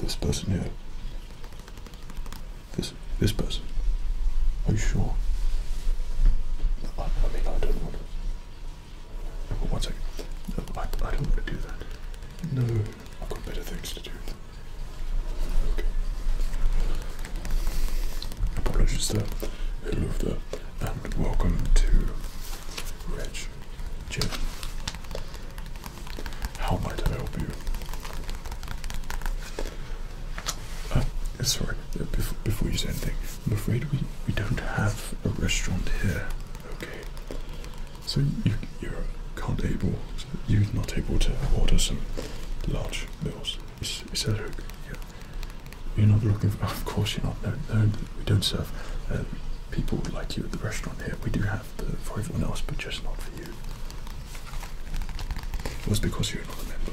this person here? This this person? Are you sure? I, mean, I don't want to. One second. No, I don't want to do that. No. I've got better things to do. Apologies there. Hello sir. and welcome to Reg Gym. How might I help you? Uh, sorry, uh, before, before you say anything, I'm afraid we, we don't have a restaurant here. Okay. So you you can't able you're not able to order some large meals. Is, that okay? Yeah. You're not looking for, of course you're not. No, we don't serve um, people like you at the restaurant here. We do have for everyone else, but just not for you. It was because you're not a member.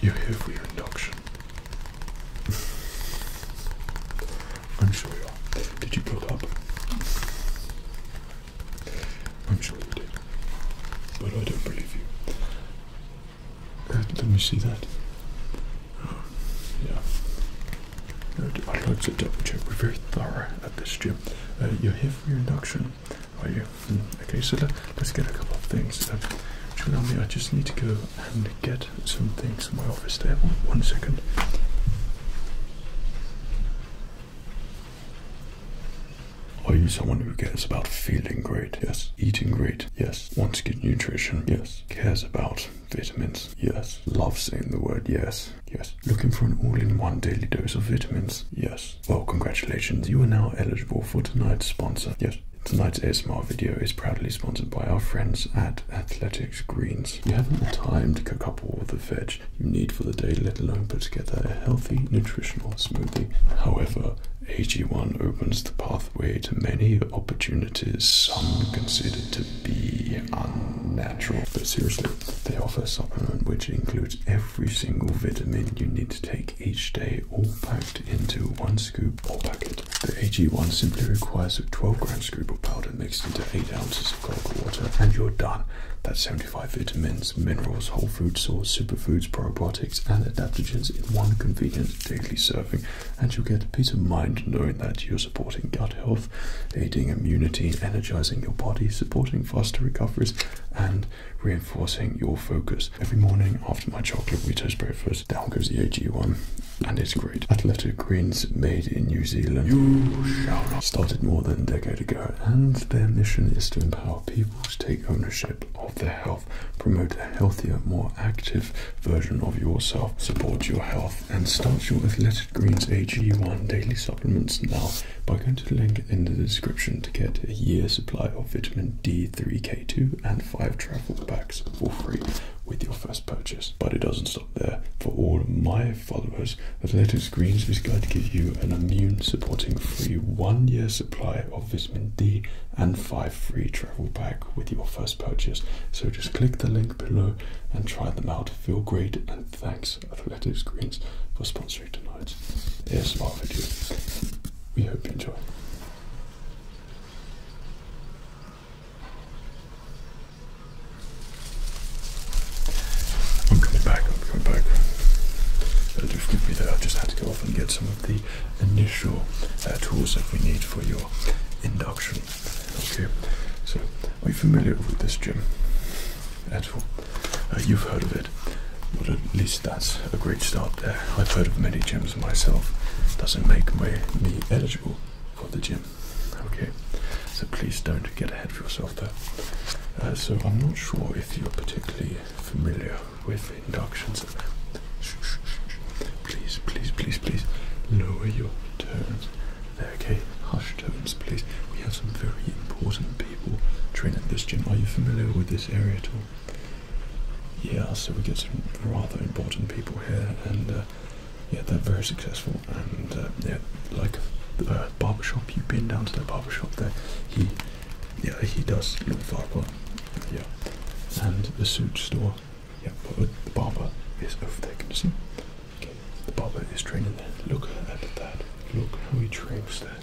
You're here for your induction. I'm sure you Did you look up? I'm sure you did. But I don't believe you. Uh, let me see that. Oh, yeah. I'd like to double check. We're very thorough at this gym. Uh, you're here for your induction, are you? Hmm, okay, so let, us get a couple of things. Um, uh, me? I just need to go and get some things from my office there. One second. Are you someone who cares about feeling great? Yes. Eating great? Yes. Wants good nutrition? Yes. Cares about vitamins? Yes. Loves saying the word yes? Yes. Looking for an all-in-one daily dose of vitamins? Yes. Well, congratulations. You are now eligible for tonight's sponsor. Yes. Tonight's ASMR video is proudly sponsored by our friends at Athletic greens. You haven't the time to cook up all the veg you need for the day, let alone put together a healthy, nutritional smoothie. However, AG1 opens the pathway to many opportunities some considered to be unnatural. But seriously, they offer a supplement which includes every single vitamin you need to take each day, all packed into one scoop or packet. The AG1 simply requires a 12 gram scoop of powder mixed into 8 ounces of cold water, and you're done. That's 75 vitamins, minerals, whole food source, superfoods, probiotics, and adaptogens in one convenient daily serving, and you'll get peace of mind knowing that you're supporting gut health, aiding immunity, energizing your body, supporting faster recoveries, and reinforcing your focus. Every morning after my chocolate Wheatos breakfast, down goes the AG1 and it's great. Athletic Greens made in New Zealand. You shall not. Started more than a decade ago, and their mission is to empower people to take ownership of their health, promote a healthier, more active version of yourself, support your health, and start your Athletic Greens AG1 daily supplements now by going to the link in the description to get a year supply of vitamin D3K2 and 5 travel bags for free with your first purchase. But it doesn't stop there. For all of my followers, Athletics Greens is going to give you an immune supporting free one year supply of vitamin D and five free travel pack with your first purchase. So just click the link below and try them out. Feel great and thanks Athletics Greens for sponsoring tonight's ASMR video. We hope you enjoy. I'm coming back, I'm coming back. Uh, just forgive me just had to go off and get some of the initial uh, tools that we need for your induction. Okay, so are you familiar with this gym at uh, you've heard of it. But at least that's a great start there. I've heard of many gyms myself. Doesn't make me eligible for the gym. Okay, so please don't get ahead of yourself there. Uh, so I'm not sure if you're particularly familiar with inductions. please, please, please, please lower your tones. There, okay, Hushed tones, please. We have some very important people training this gym. Are you familiar with this area at all? Yeah, so we get some rather important people here, and uh, yeah, they're very successful. And uh, yeah, like the uh, barber shop. you've been down to the barber shop there. He, yeah, he does look barber. Yeah, and the suit store. Yeah, but the barber is over there. Can you see? Okay, the barber is training there. Look at that. Look how he trains there.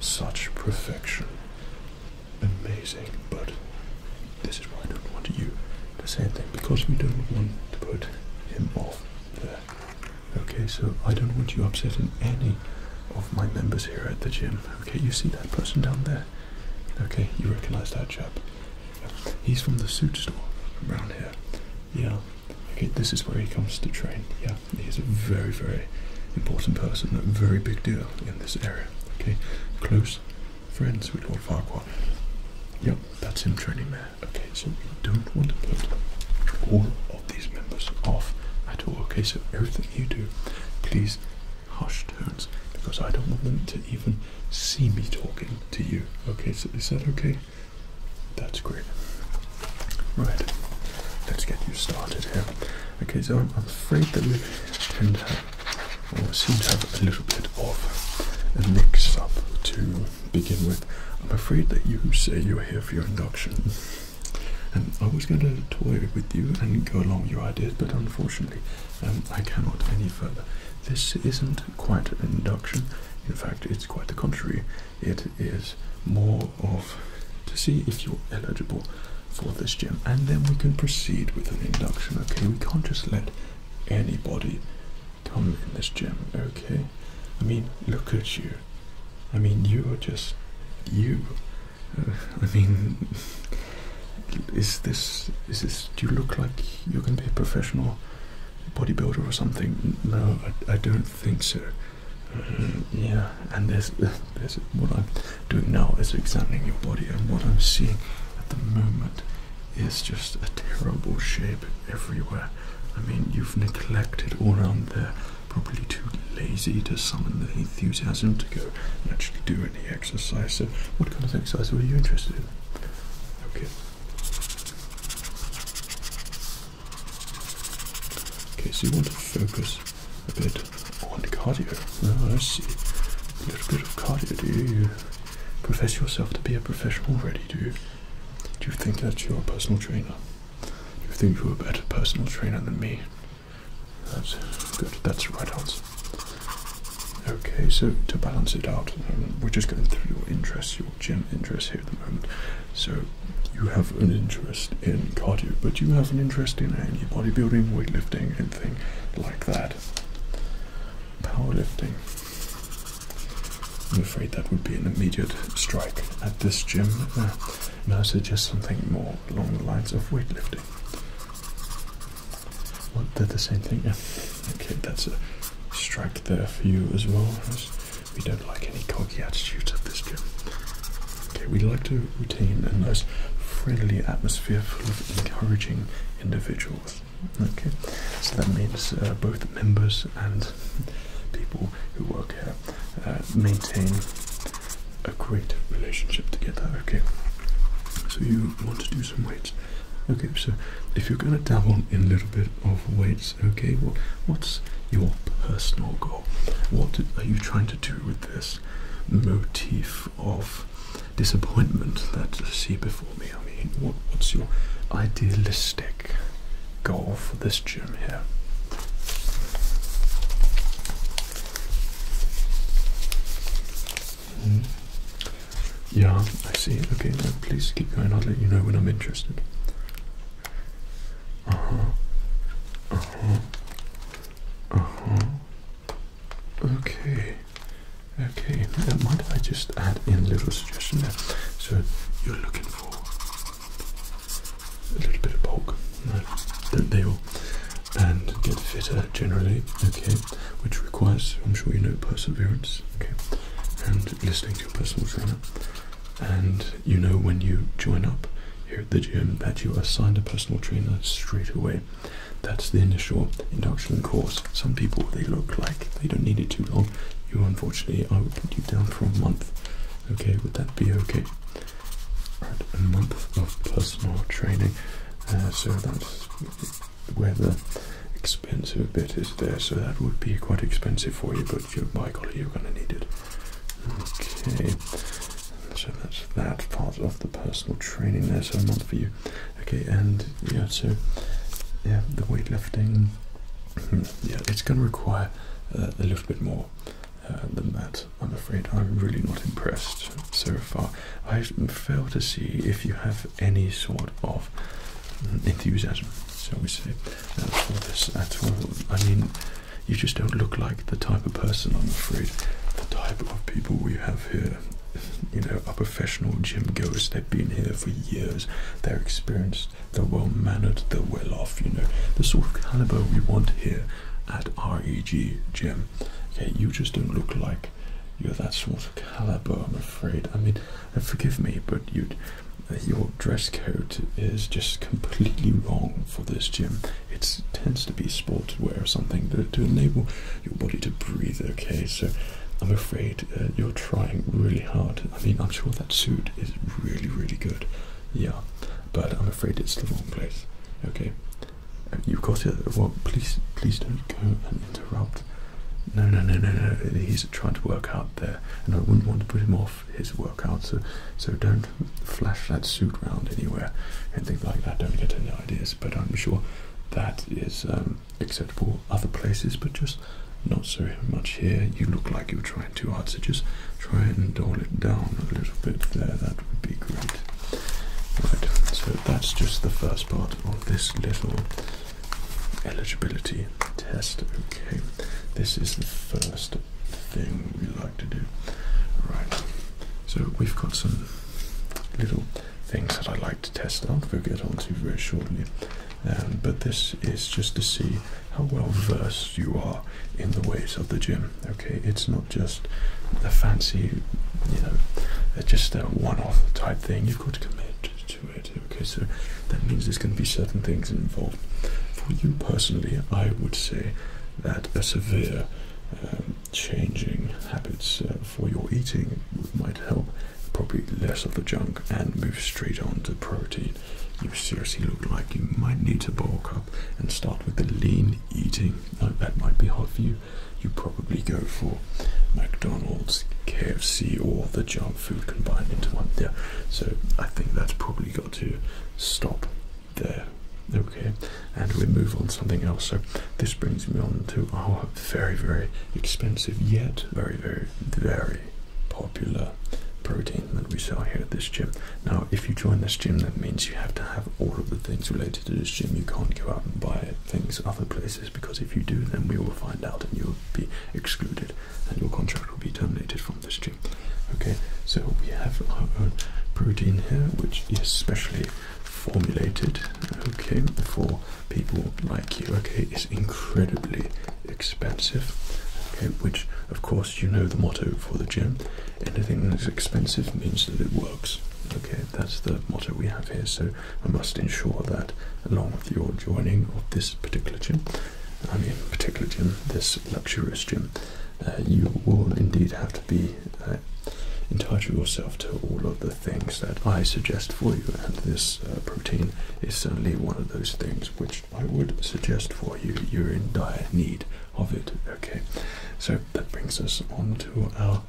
Such perfection. Amazing, but this is why I don't want you to say anything because we don't want to put him off there. Okay, so I don't want you upsetting any of my members here at the gym. Okay, you see that person down there? Okay, you recognize that chap. He's from the suit store around here. Yeah. Okay, this is where he comes to train. Yeah, he's a very, very important person, a very big deal in this area. Okay, close friends with Lord Farquaad. Yep, that's him training there. Okay, so you don't want to put all of these members off at all. Okay, so everything you do, please hush tones because I don't want them to even see me talking to you. Okay, so is that okay? That's great. Right, let's get you started here. Okay, so I'm afraid that we tend to well, it seems to have a little bit of a mix up to begin with. I'm afraid that you say you're here for your induction. And um, I was going to toy with you and go along your ideas, but unfortunately, um, I cannot any further. This isn't quite an induction. In fact, it's quite the contrary. It is more of to see if you're eligible for this gem, and then we can proceed with an induction. Okay, we can't just let anybody come in this gym, okay? I mean, look at you. I mean, you are just you. I mean, is this, is this, do you look like you're going to be a professional bodybuilder or something? No, I, don't think so. Uh, yeah, and there's, there's what I'm doing now is examining your body and what I'm seeing at the moment is just a terrible shape everywhere. I mean, you've neglected all around there, probably too lazy to summon the enthusiasm to go and actually do any exercise. So, what kind of exercise were you interested in? Okay. Okay, so you want to focus a bit on cardio. Oh, I see. A little bit of cardio, do you? profess yourself to be a professional already? Do you, do you think that you're a personal trainer? you think you're a better personal trainer than me? That's good. That's the right answer. Okay, so to balance it out, um, we're just going through your interests, your gym interests here at the moment. So you have an interest in cardio, but you have an interest in any bodybuilding, weightlifting, anything like that powerlifting. I'm afraid that would be an immediate strike at this gym. Uh, I suggest something more along the lines of weightlifting. Well, the same thing. okay, that's a strike there for you as well. We don't like any cocky attitudes at this gym. Okay, we like to retain a nice friendly atmosphere full of encouraging individuals. Okay, so that means uh, both members and people who work here uh, maintain a great relationship together. Okay, so you want to do some weights. Okay, so if you're going to dabble in a little bit of weights, okay, well, what's your personal goal? What are you trying to do with this motif of disappointment that I see before me. I mean, what's your idealistic goal for this gym here? Hmm? Yeah, I see. Okay, now please keep going. I'll let you know when I'm interested. Uh huh. Uh huh. Uh huh. Okay. Okay, uh, might I just add in a little suggestion there? So you're looking for a little bit of bulk, that they will, And get fitter generally, okay, which requires, I'm sure you know, perseverance, okay, and listening to your personal trainer. And you know when you join up here at the gym that you are assigned a personal trainer straight away. That's the initial induction course. Some people they look like they don't need it too long. You unfortunately I will put you down for a month. Okay, would that be okay? a month of personal training. Uh, so that's where the expensive bit is there. So that would be quite expensive for you, but you, by you're going to need it. Okay, so that's that part of the personal training there. So a month for you. Okay, and yeah, so yeah, the weightlifting, hmm, yeah, it's going to require uh, a little bit more uh, than that. I'm afraid I'm really not impressed so far. I fail to see if you have any sort of hmm, enthusiasm, shall we say, uh, for this at all. I mean, you just don't look like the type of person. I'm afraid the type of people we have here, you know, up professional gym goers. They've been here for years. They're experienced. They're well mannered. They're well off. You know the sort of caliber we want here at REG Gym. Okay, you just don't look like you're that sort of caliber. I'm afraid. I mean, uh, forgive me, but you uh, your dress code is just completely wrong for this gym. It tends to be sportswear or something to, enable your body to breathe. Okay, so I'm afraid uh, you're trying really hard. I mean, I'm sure that suit is really, really good. Yeah, but I'm afraid it's the wrong place. Okay, you've got it. Well, please, please don't go and interrupt. No, no, no, no, no. He's trying to work out there, and I wouldn't want to put him off his workout. So, so don't flash that suit round anywhere Anything like that. Don't get any ideas. But I'm sure that is. Um, Except for other places, but just not so much here. You look like you're trying too hard, so just try and dial it down a little bit there. That would be great. Right, so that's just the first part of this little eligibility test. Okay, this is the first thing we like to do. Right, so we've got some little things that i like to test out we'll get onto very shortly. Um, but this is just to see how well versed you are in the ways of the gym. Okay, it's not just a fancy, you know, uh, just a one-off type thing. You've got to commit to it. Okay, so that means there's going to be certain things involved. For you personally, I would say that a severe um, changing habits uh, for your eating might help. Probably less of the junk and move straight on to protein. You seriously look like you might need to bulk up and start with the lean eating. Now, that might be hard for you. You probably go for McDonald's, KFC, or the junk food combined into one there. So I think that's probably got to stop there. Okay, and we move on something else. So this brings me on to our very, very expensive yet very, very, very popular protein that we sell here at this gym. Now, if you join this gym, that means you have to have all of the things related to this gym. You can't go out and buy things other places because if you do, then we will find out and you'll be excluded and your contract will be terminated from this gym. Okay, so we have our own protein here, which is specially formulated, okay, for people like you, okay, is incredibly expensive, okay, which of course you know the motto for the gym. Anything that's expensive means that it works. Okay, that's the motto we have here, so I must ensure that along with your joining of this particular gym, I mean particular gym, this luxurious gym, uh, you will indeed have to be uh, entitle yourself to all of the things that I suggest for you, and this uh, protein is certainly one of those things which I would suggest for you. You're in dire need of it. Okay, so that brings us on to our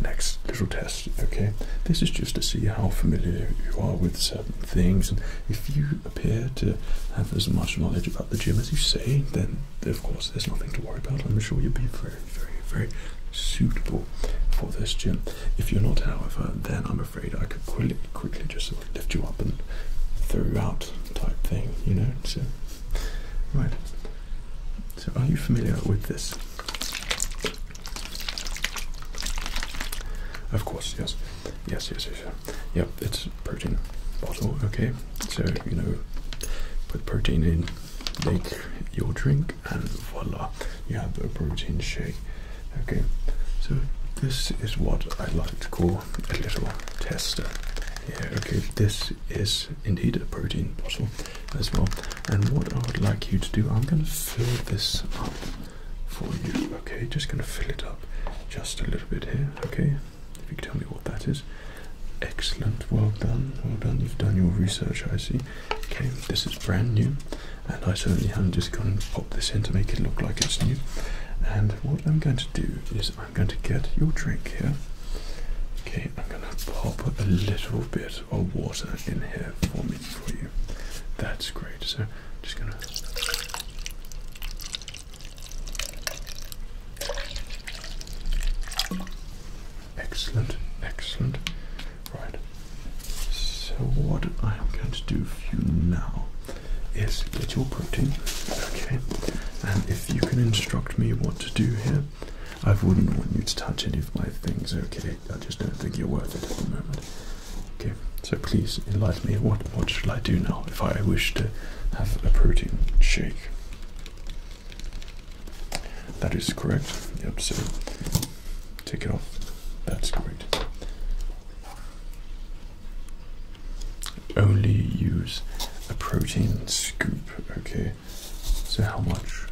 next little test. Okay, this is just to see how familiar you are with certain things, and if you appear to have as much knowledge about the gym as you say, then of course there's nothing to worry about. I'm sure you'll be very very, very suitable for this gym. If you're not, however, then I'm afraid I could quickly, quickly just sort of lift you up and throw you out type thing, you know? So, right. So, are you familiar with this? Of course, yes. Yes, yes, yes. Yep, it's protein bottle, okay? So, you know, put protein in, make your drink and voila you have a protein shake okay so this is what i like to call a little tester yeah okay this is indeed a protein bottle as well and what i would like you to do i'm going to fill this up for you okay just going to fill it up just a little bit here okay if you can tell me what that is excellent well done well done you've done your research i see Okay, this is brand new, and I certainly haven't just gone and popped this in to make it look like it's new. And what I'm going to do is I'm going to get your drink here. Okay, I'm going to pop a little bit of water in here for me for you. That's great. So just going to. Excellent, excellent. Right. So what I am going to do for you now is get your protein, okay? And if you can instruct me what to do here, I wouldn't want you to touch any of my things, okay? I just don't think you're worth it at the moment. Okay, so please enlighten me. What what should I do now if I wish to have a protein shake? That is correct. Yep, so take it off. That's correct. Only use a protein scoop. Okay, so how much?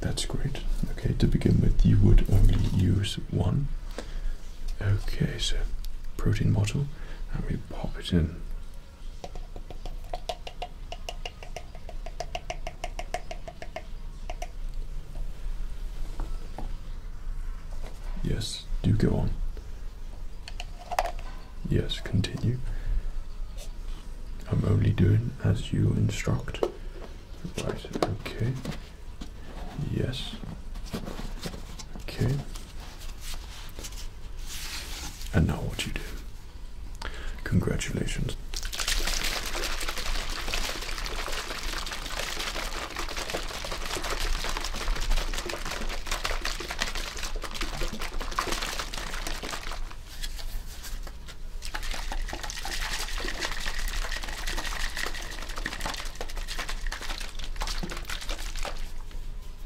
That's great. Okay, to begin with, you would only use one. Okay, so protein bottle, Let me pop it in Yes, do go on. Yes, continue. I'm only doing as you instruct. okay. Yes. Okay. And now what you do. Congratulations.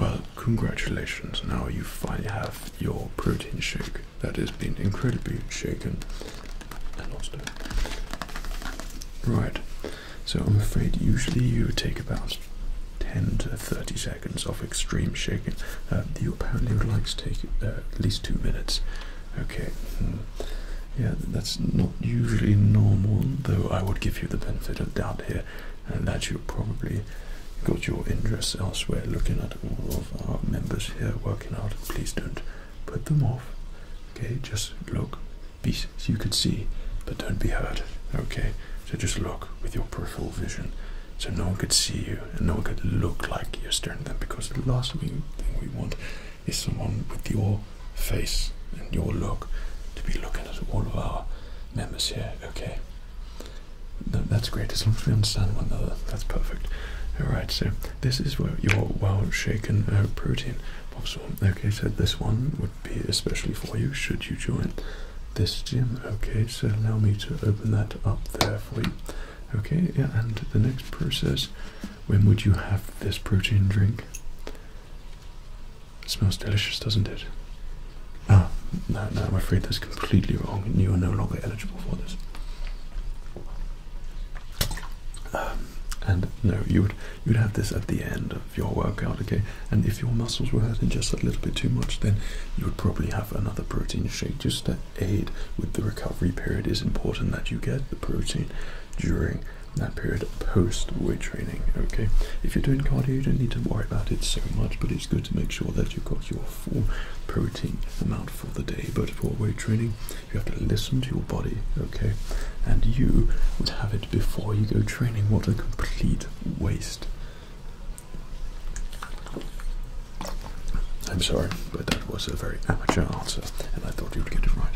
Well, congratulations. Now you finally have your protein shake that has been incredibly shaken Right. So I'm afraid usually you take about 10 to 30 seconds of extreme shaking. Uh, you apparently would like to take uh, at least two minutes. Okay. Mm. Yeah, that's not usually normal, though I would give you the benefit of doubt here, and that you probably got your interest elsewhere looking at all of our members here working out. Please don't put them off. Okay, just look. Be you can see, but don't be hurt. Okay, so just look with your peripheral vision. So no one could see you and no one could look like you're staring them because the last thing we want is someone with your face and your look to be looking at all of our members here, okay? that's great, as long as we understand one another, that's perfect. Alright, so this is where your well shaken uh, protein pops on. Okay, so this one would be especially for you should you join this gym. Okay, so allow me to open that up there for you. Okay, yeah, and the next process when would you have this protein drink? It smells delicious, doesn't it? Ah, no, no, I'm afraid that's completely wrong, and you are no longer eligible for this. Um, and no, you would you would have this at the end of your workout, okay? And if your muscles were hurting just a little bit too much, then you would probably have another protein shake just to aid with the recovery period. It is important that you get the protein during that period post weight training. Okay, if you're doing cardio, you don't need to worry about it so much, but it's good to make sure that you've got your full protein amount for the day. But for weight training, you have to listen to your body, okay, and you would have it before you go training. What a complete waste! I'm sorry, but that was a very amateur answer, and I thought you'd get it right.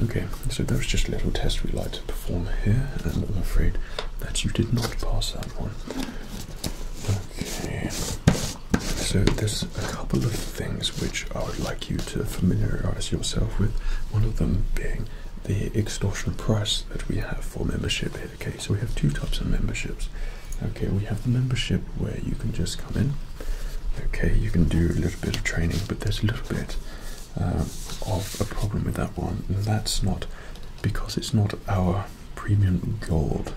Okay, so that was just a little test we like to perform here, and I'm afraid that you did not pass that one. Okay. So there's a couple of things which I would like you to familiarize yourself with. One of them being the extortion price that we have for membership here. Okay, so we have two types of memberships. Okay, we have the membership where you can just come in. Okay, you can do a little bit of training, but there's a little bit uh, of a problem with that one. that's not because it's not our premium gold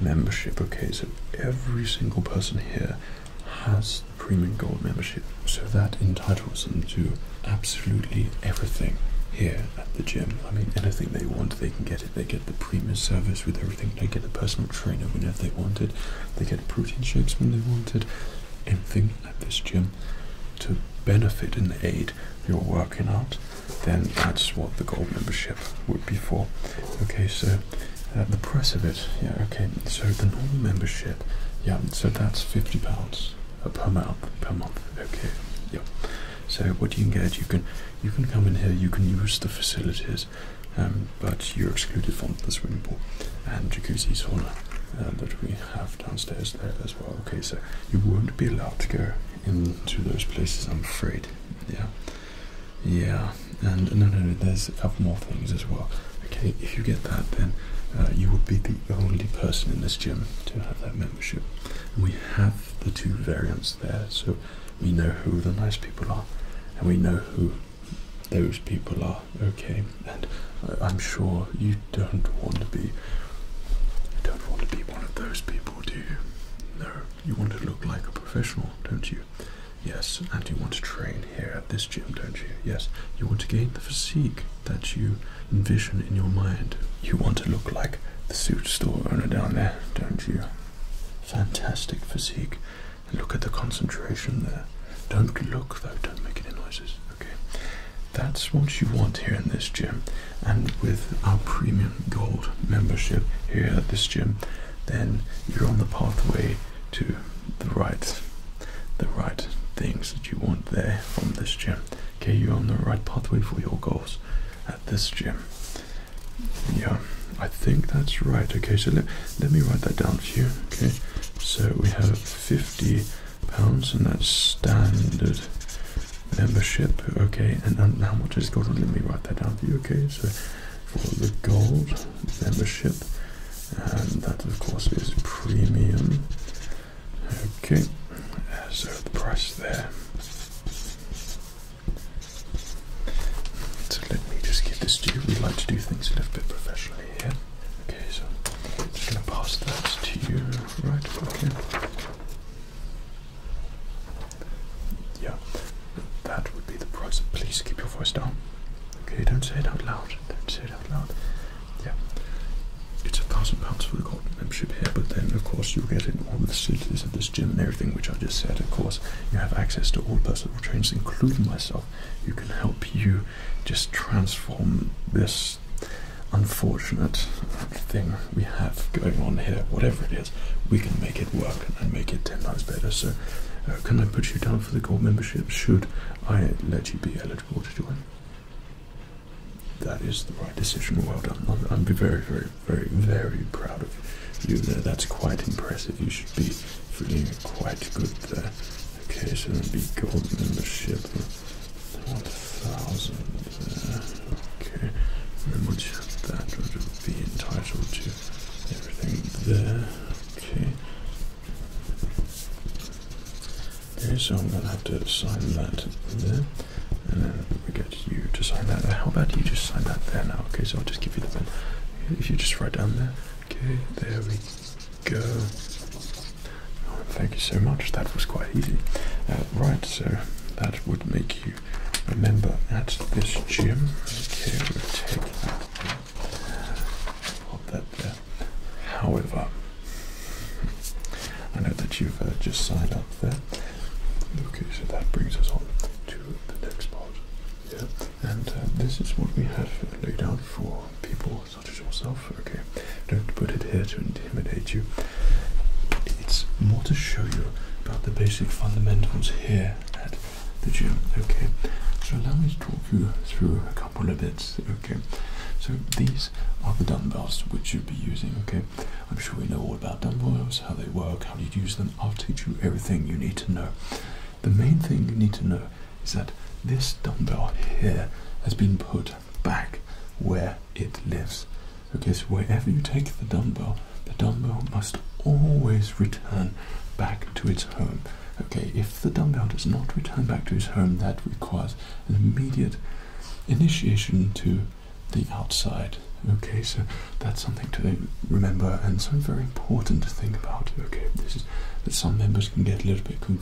membership. Okay, so every single person here has premium gold membership, so that entitles them to absolutely everything here at the gym. I mean, anything they want, they can get it. They get the premium service with everything. They get a personal trainer whenever they want it. They get protein shakes when they want it. Anything at this gym to benefit and aid your working out, then that's what the gold membership would be for. Okay, so uh, the price of it, yeah, okay, so the normal membership, yeah, so that's £50 pounds, per month, per month, okay, yeah. So what you can get, you can you can come in here, you can use the facilities, um, but you're excluded from the swimming pool and jacuzzi sauna uh, that we have downstairs there as well. Okay, so you won't be allowed to go into those places, I'm afraid. Yeah, yeah, and no, no, there's a couple more things as well. Okay, if you get that, then uh, you would be the only person in this gym to have that membership. we have the two variants there, so we know who the nice people are, and we know who those people are okay, and I'm sure you don't want to be. You don't want to be one of those people, do you? No, you want to look like a professional, don't you? Yes, and you want to train here at this gym, don't you? Yes, you want to gain the physique that you envision in your mind. You want to look like the suit store owner down there, don't you? Fantastic physique. Look at the concentration there. Don't look though, don't make any noises, Okay, that's what you want here in this gym, and with our premium gold membership here at this gym, then you're on the pathway to the right, the right things that you want there from this gym. Okay, you're on the right pathway for your goals at this gym. Yeah, I think that's right. Okay, so let, let me write that down for you. Okay, so we have 50 pounds, and that's standard membership. Okay, and, how much is gold? Let me write that down for you. Okay, so for the gold membership, and that of course is premium. Okay, so the price there. So let me just give this to you. We like to do things a little bit professionally here. Okay, so I'm just gonna pass that to you, right? Okay. Yeah, that would be the price. Please keep your voice down. Okay, don't say it out loud. Don't say it out loud. Yeah, it's a thousand pounds for the gold membership here, but then of course you get in all the facilities at this gym and everything which I just said. Of course, you have access to all personal trainers, including myself, You can help you just transform this unfortunate thing we have going on here, whatever it is, we can make it work and make it 10 times better. So, uh, can I put you down for the gold membership? Should I let you be eligible to join? That is the right decision. Well done. I'll, I'll be very, very, very, very proud of you there. That's quite impressive. You should be feeling quite good there. Okay, so it'll be gold membership. One thousand Okay. And then once you have that, it'll be entitled to everything there. Okay. Okay, so I'm gonna have to sign that there. And then we get you to sign that. How about you just sign that there now? Okay, so I'll just give you the pen. If you just write down there. Okay, there we go. thank you so much. That was quite easy. Uh, right, so that would make you a member at this gym. Okay, we'll take that. there. However, I know that you've uh, just signed up there. Okay, so that brings us on to the next part. Yeah, and uh, this is what we have laid out for people not just yourself. Okay, don't put it here to intimidate you. It's more to show you about the basic fundamentals here at the gym. Okay, so allow me to talk you through a couple of bits. Okay, so these are the dumbbells which you'll be using. Okay, I'm sure we know all about dumbbells, how they work, how you use them. I'll teach you everything you need to know. The main thing you need to know is that this dumbbell here has been put back where it lives. Okay, so wherever you take the dumbbell, the dumbbell must always return back to its home. Okay, if the dumbbell does not return back to its home, that requires an immediate initiation to the outside. Okay, so that's something to remember and something very important to think about. Okay, this is that some members can get a little bit confused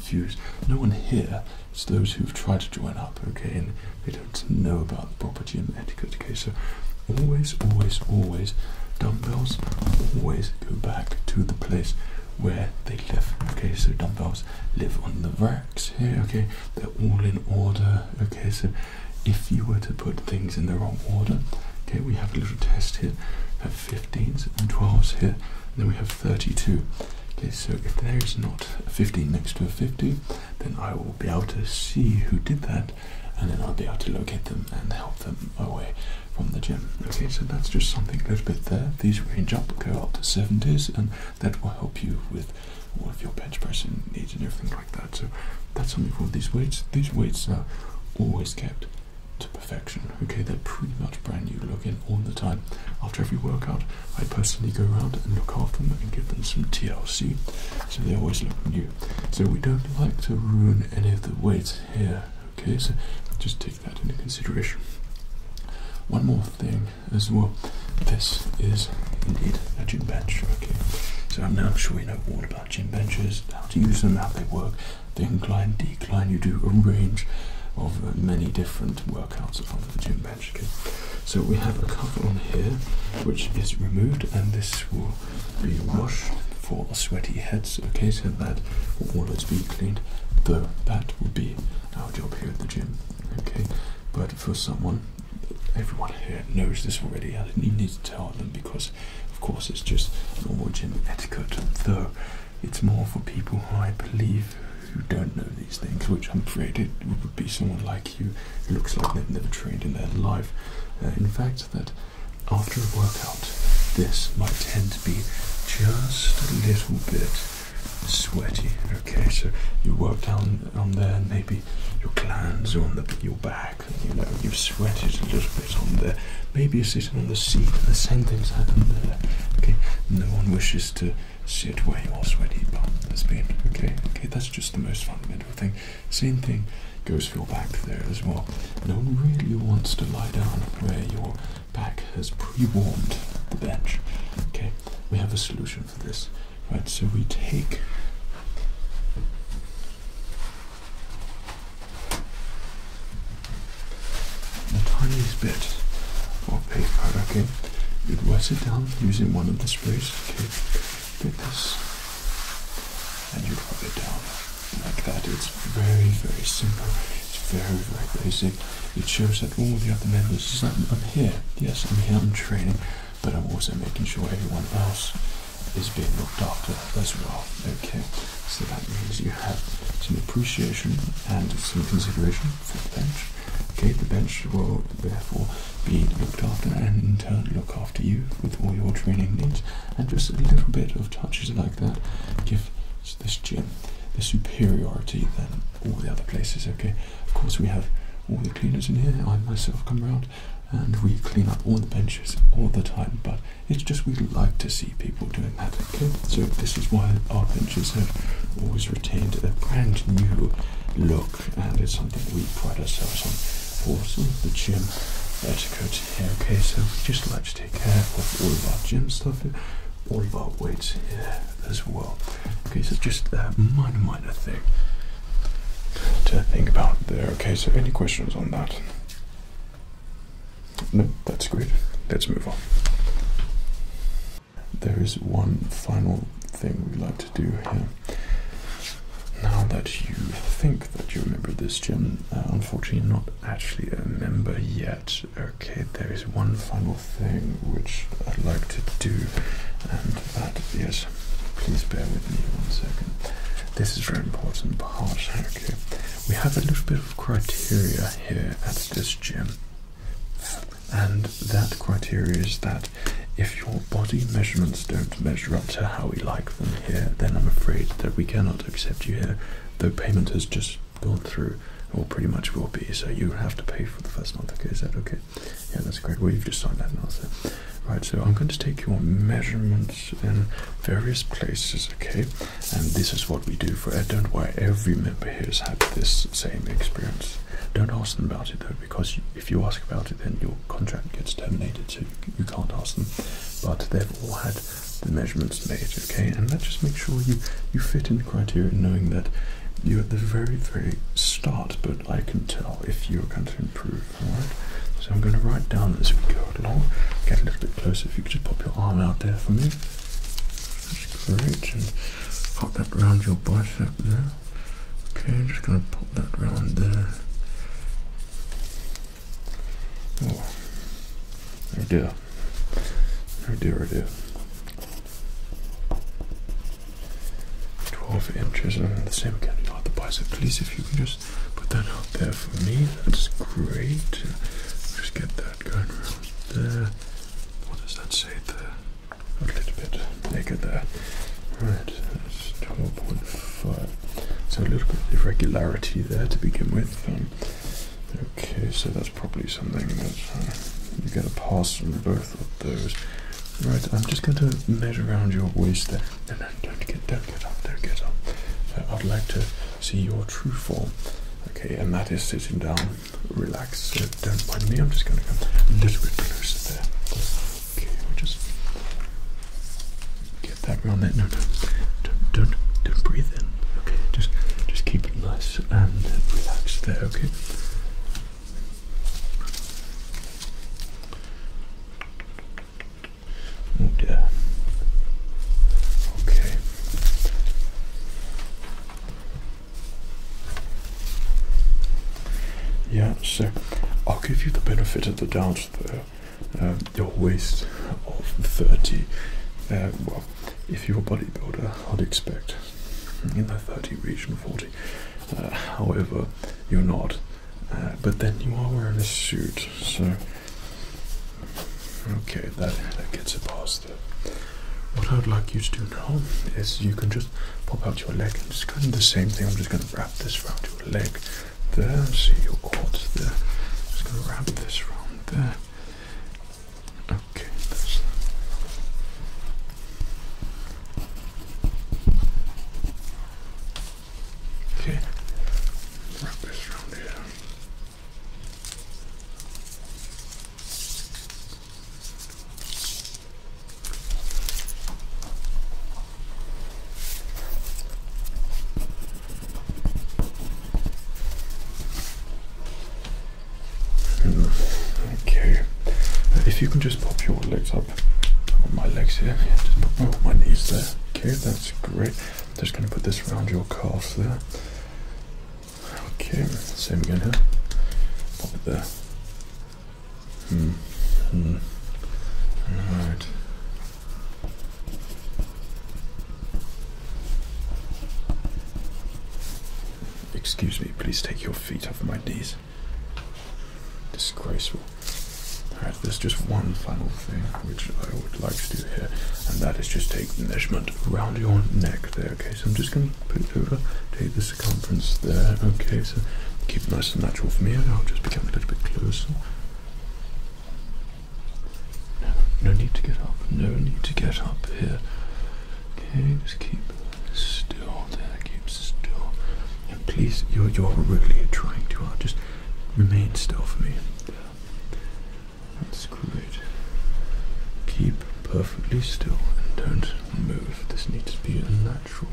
no one here, it's those who've tried to join up, okay, and they don't know about the property and etiquette, okay? So always, always, always, dumbbells always go back to the place where they live, okay? So dumbbells live on the racks here, okay? They're all in order, okay? So if you were to put things in the wrong order, okay, we have a little test here. 15s and 12s here, then we have 32. Okay, so if there is not 15 next to a 50, then I will be able to see who did that, and then I'll be able to locate them and help them away from the gym. Okay, so that's just something a little bit there. These range up, go up to 70s, and that will help you with all of your bench pressing needs and everything like that. So that's something for these weights. These weights are always kept to perfection. Okay, they're pretty much brand new looking all the time. After every workout, I personally go around and look after them and give them some TLC so they always look new. So we don't like to ruin any of the weights here. Okay, so just take that into consideration. One more thing as well. This is indeed a gym bench. Okay, so I'm now sure you know all about gym benches, how to use them, how they work, the incline, decline, you do a range of uh, many different workouts on the gym bench. Okay? So we have a cover on here which is removed and this will be washed for sweaty heads. Okay, so that will always be cleaned, though that will be our job here at the gym. Okay, but for someone, everyone here knows this already. I didn't even need to tell them because, of course, it's just normal gym etiquette, though. It's more for people who I believe who don't know these things, which I'm afraid it would be someone like you who looks like they've never trained in their life. Uh, in fact, that after a workout, this might tend to be just a little bit sweaty. Okay, so you work down on there, maybe your glands on the, your back, you know, you've sweated a little bit on there there. Maybe you're sitting on the seat. The same things happen there. Okay, no one wishes to sit where your sweaty bum has been. Okay, okay, that's just the most fundamental thing. Same thing goes for your back there as well. No one really wants to lie down where your back has pre-warmed the bench. Okay, we have a solution for this. Right, so we take the tiniest bit of paper, okay? You'd wet it down using one of the sprays, okay? Get this and you'd rub it down like that. It's very, very simple. It's very, very basic. It shows that all the other members, is i I'm here, yes, I'm here, I'm training, but I'm also making sure everyone else is being looked after as well, okay? So that means you have some appreciation and some consideration for the bench. Okay, the bench will therefore be looked after and in turn look after you with all your training needs. And just a little bit of touches like that give this gym the superiority than all the other places. Okay, of course we have all the cleaners in here. I myself come around and we clean up all the benches all the time, but it's just we like to see people doing that, okay? So this is why our benches have always retained a brand new look and it's something we pride ourselves on for some of the gym etiquette here, okay? So we just like to take care of all of our gym stuff here, all of our weights here as well. Okay, so just a minor, minor thing to think about there, okay? So any questions on that? No, that's great. Let's move on. There is one final thing we'd like to do here. Now that you think that you remember this gym, uh, unfortunately not actually a member yet. Okay, there is one final thing which I'd like to do, and that is, please bear with me one second. This is very important part, okay. We have a little bit of criteria here at this gym. And that criteria is that if your body measurements don't measure up to how we like them here, then I'm afraid that we cannot accept you here. Though payment has just gone through, or pretty much will be, so you have to pay for the first month. Okay, is that okay? Yeah, that's great. we have just signed that now, so. Right, so I'm going to take your measurements in various places, okay? and this is what we do for I don't know why every member here has had this same experience. Don't ask them about it though, because if you ask about it, then your contract gets terminated, so you, can't ask them. But they've all had the measurements made, okay? And that just makes sure you you fit in the criteria, knowing that you're at the very, very start. But I can tell if you're going to improve, all right? So I'm going to write down as we go along. Get a little bit closer. If you could just pop your arm out there for me. That's great. And pop that round your bicep there. Okay, I'm just gonna pop that round there. Oh, I do. I do, I do. 12 inches, and i the same again. You the bicep, please, if you can just put that out there for me. That's great. Just get that there. What does that say there? A little bit bigger there. Right, 12.5. So a little bit of irregularity there to begin with. Um, okay, so that's probably something that you uh, you get to pass from both of those. Right, I'm just going to measure around your waist there. No, no, don't get, don't get up, don't get up. I'd like to see your true form. Okay, and that is sitting down, relaxed. don't mind me. I'm just going to go a little bit closer there. Okay, we'll just get that round there. No, no, don't, don't, don't breathe in. Okay, just, just keep it nice and relaxed there. Okay. Oh Okay. Yeah, sir. I'll give you the benefit of the doubt though. Um, your waist of 30, uh, well, if you're a bodybuilder, I'd expect in the 30 region 40. Uh, however, you're not. Uh, but then you are wearing a suit, so Okay, that, that gets it past it. What I would like you to do now is you can just pop out your leg and just kind of the same thing. I'm just going to wrap this around your leg there. See your quads there. Just going to wrap this around there. Okay, Okay, wrap this around here. Okay, uh, if you can just pop your legs up, or my legs here, just pop my knees there. Okay, that's great. just going to put this around your calves there. Okay, same again here. Pop it there. Hmm. Hmm. Excuse me, please take your feet off my knees. Disgraceful. Alright, there's just one final thing which I would like to do here and that is just take measurement around your neck there. Okay, so I'm just going to put it over, take the circumference there. Okay, so keep it nice and natural for me. I'll just become a little bit closer. No, need to get up. No need to get up here. Okay, just keep still there. Keep still. And please, you're you're really trying to. I'll just remain still for me. That's great. Keep perfectly still and don't move. This needs to be a natural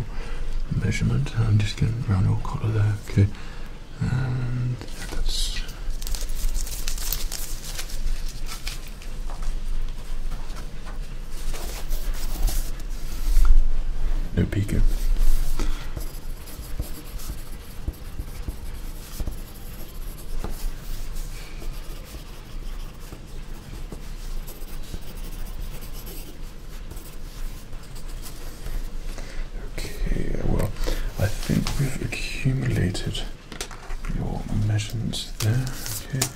measurement. I'm just getting around your collar there, okay? And that's. No peeking. Okay, well, I think we've accumulated your measurements there. Okay,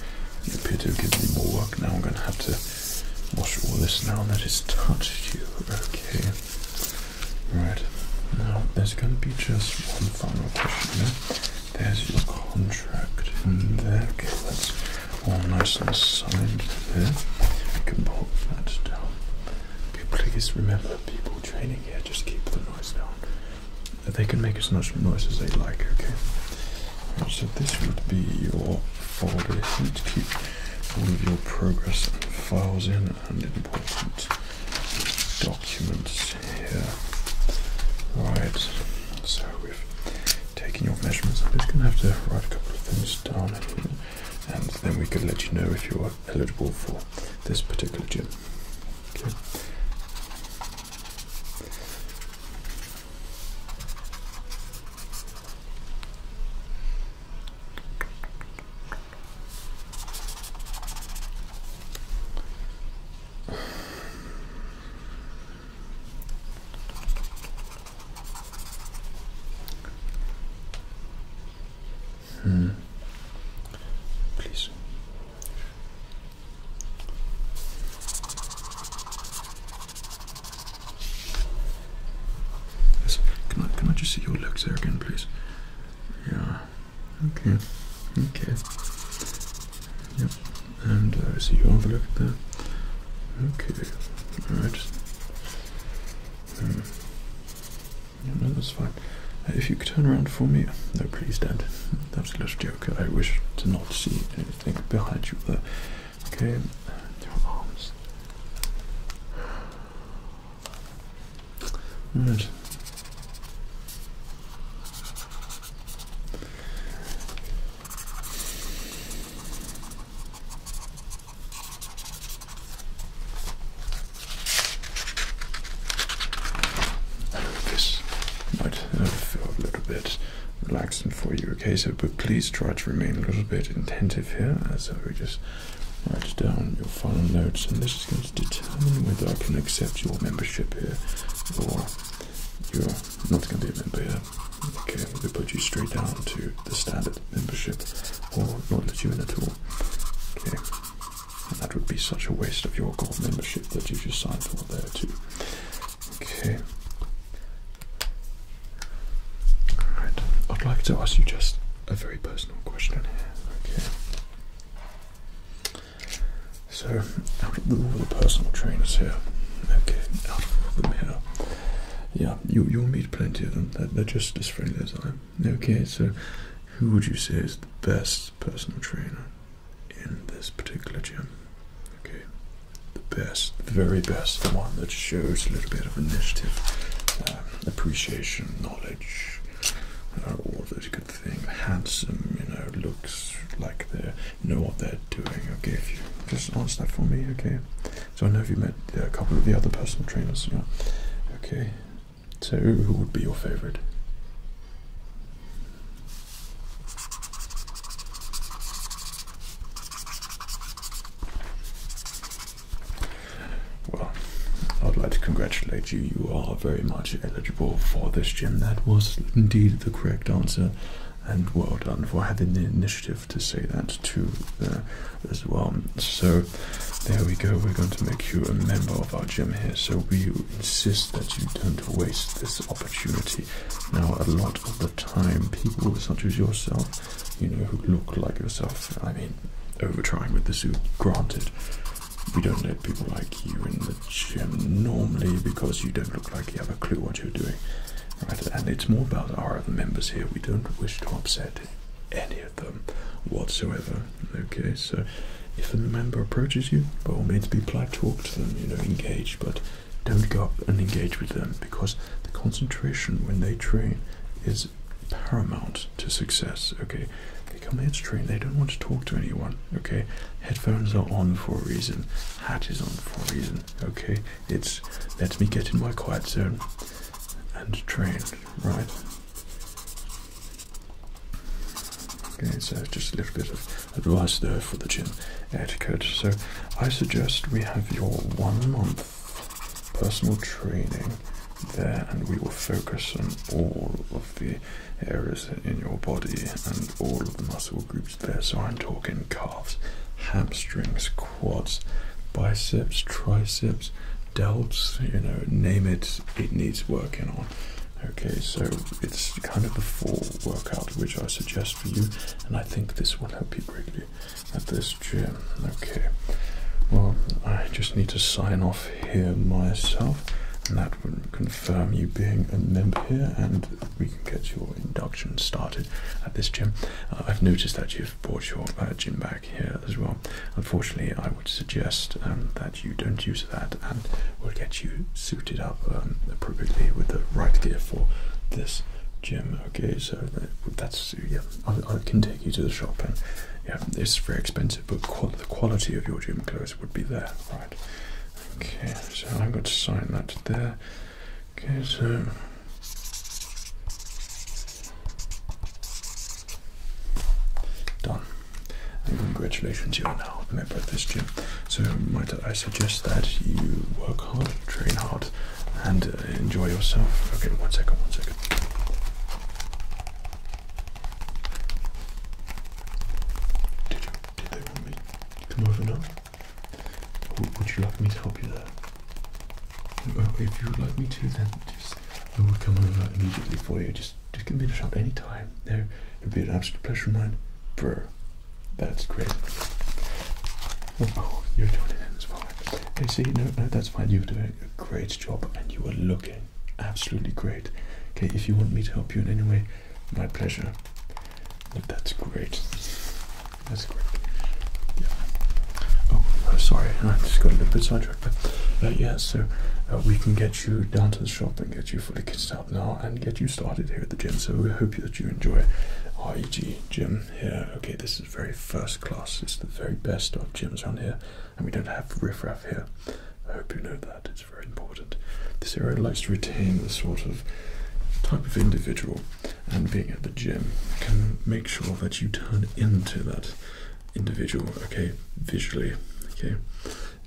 you appear to have given me more work now. I'm going to have to wash all this now that it's touched you. Okay. Right. Now there's gonna be just one final question yeah? There's your contract in there. Okay, that's all nice and signed there. We can pop that down. Please remember people training here, just keep the noise down. They can make as much noise as they like, okay? so this would be your folder here to keep all of your progress files in important documents here. Right, so we've taken your measurements. I'm just going to have to write a couple of things down, and then we can let you know if you're eligible for this particular gym. Okay. Hmm. Please. Can I, can I just see your legs there again, please? Yeah. Okay, hmm. okay. Yep, and uh, so you overlooked that. Okay, alright. Hmm. no, that's fine. Uh, if you could turn around for me. No, please, Dad. That was a little joke. I wish to not see anything behind you there. Okay, your arms. Alright. this might feel a little bit relaxing for you, okay? So, but please try to remain a little bit attentive here, so we just Write down your final notes, and this is going to determine whether I can accept your membership here or you're not going to be a member here. Okay, we put you straight down to the standard membership or not let you in at all. Okay, that would be such a waste of your gold membership that you just signed for there too. Okay. Alright, I'd like to ask you just a very personal question here. Okay. So, all the personal trainers here, okay, out of them here, yeah, you, you meet plenty of them. They're, just as friendly as I am. Okay, so who would you say is the best personal trainer in this particular gym? Okay, the best, the very best, the one that shows a little bit of initiative, uh, appreciation, knowledge, are oh, all those good things. Handsome, you know, looks like they know what they're doing. Okay, just answer that for me, okay? So I know you met a couple of the other personal trainers, Okay, so who would be your favorite? Well, I would like to congratulate you. You are very much eligible for this gym. That was indeed the correct answer, and well done for having the initiative to say that too uh, as well. So, there we go. We're going to make you a member of our gym here. So we insist that you don't waste this opportunity. Now, a lot of the time, people such as yourself, you know, who look like yourself. I mean, over trying with the suit, granted. We don't let people like you in the gym normally because you don't look like you have a clue what you're doing. Right? And it's more about our members here. We don't wish to upset any of them whatsoever. Okay, so if a member approaches you, by all means be polite, talk to them, you know, engage, but don't go up and engage with them because the concentration when they train is paramount to success. Okay, they come here to train, they don't want to talk to anyone. Okay, headphones are on for a reason, hat is on for a reason. Okay, it's let me get in my quiet zone and train, right? Okay, so just a little bit of advice there for the gym etiquette. So I suggest we have your one month personal training there and we will focus on all of the areas in your body and all of the muscle groups there. So I'm talking calves, hamstrings, quads, biceps, triceps, delts, you know, name it, it needs working on. Okay, so it's kind of a full workout which I suggest for you, and I think this will help you greatly at this gym. Okay, well, I just need to sign off here myself and that would confirm you being a member here and we can get your induction started at this gym. Uh, I've noticed that you've brought your uh, gym bag here as well. Unfortunately, I would suggest um, that you don't use that and we'll get you suited up um, appropriately with the right gear for this gym. Okay, so that, that's, yeah, I, can take you to the shop and yeah, it's very expensive but qu the quality of your gym clothes would be there, right? Okay, so I'm going to sign that there. Okay, so. Done. And congratulations, you are now a member of this gym. So, might I suggest that you work hard, train hard, and uh, enjoy yourself? Okay, one second, one second. Did, you, did they want me to come over now? would you like me to help you there? Oh, if you would like me to, then just I will come over immediately for you. Just just give me a shout any time. There, would be an absolute pleasure of mine. Brr, that's great. Oh, you're doing it as well. Hey, see, no, no, that's fine. You do it a great job and you are looking absolutely great. Okay, if you want me to help you in any way, my pleasure. that's great. That's great. Yeah. Oh, oh, sorry, I just got a little bit sidetracked. But uh, yes. so uh, we can get you down to the shop and get you fully kitted out now and get you started here at the gym. So we hope that you enjoy REG gym here. Okay, this is very first class. It's the very best of gyms around here and we don't have riffraff here. I hope you know that, it's very important. This area likes to retain the sort of type of individual, and being at the gym can make sure that you turn into that individual, okay, visually, okay.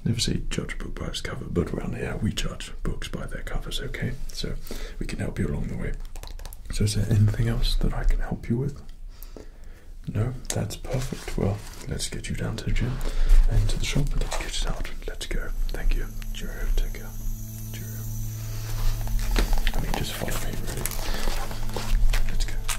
Never say judge books by their cover, but around here we judge books by their covers, okay? So we can help you along the way. So, is there anything else that I can help you with? No, that's perfect. Well, let's get you down to the gym and to the shop. Let's get it out. Let's go. Thank you. Cheerio. Take care. Cheerio. I mean, just follow me, really. Let's go.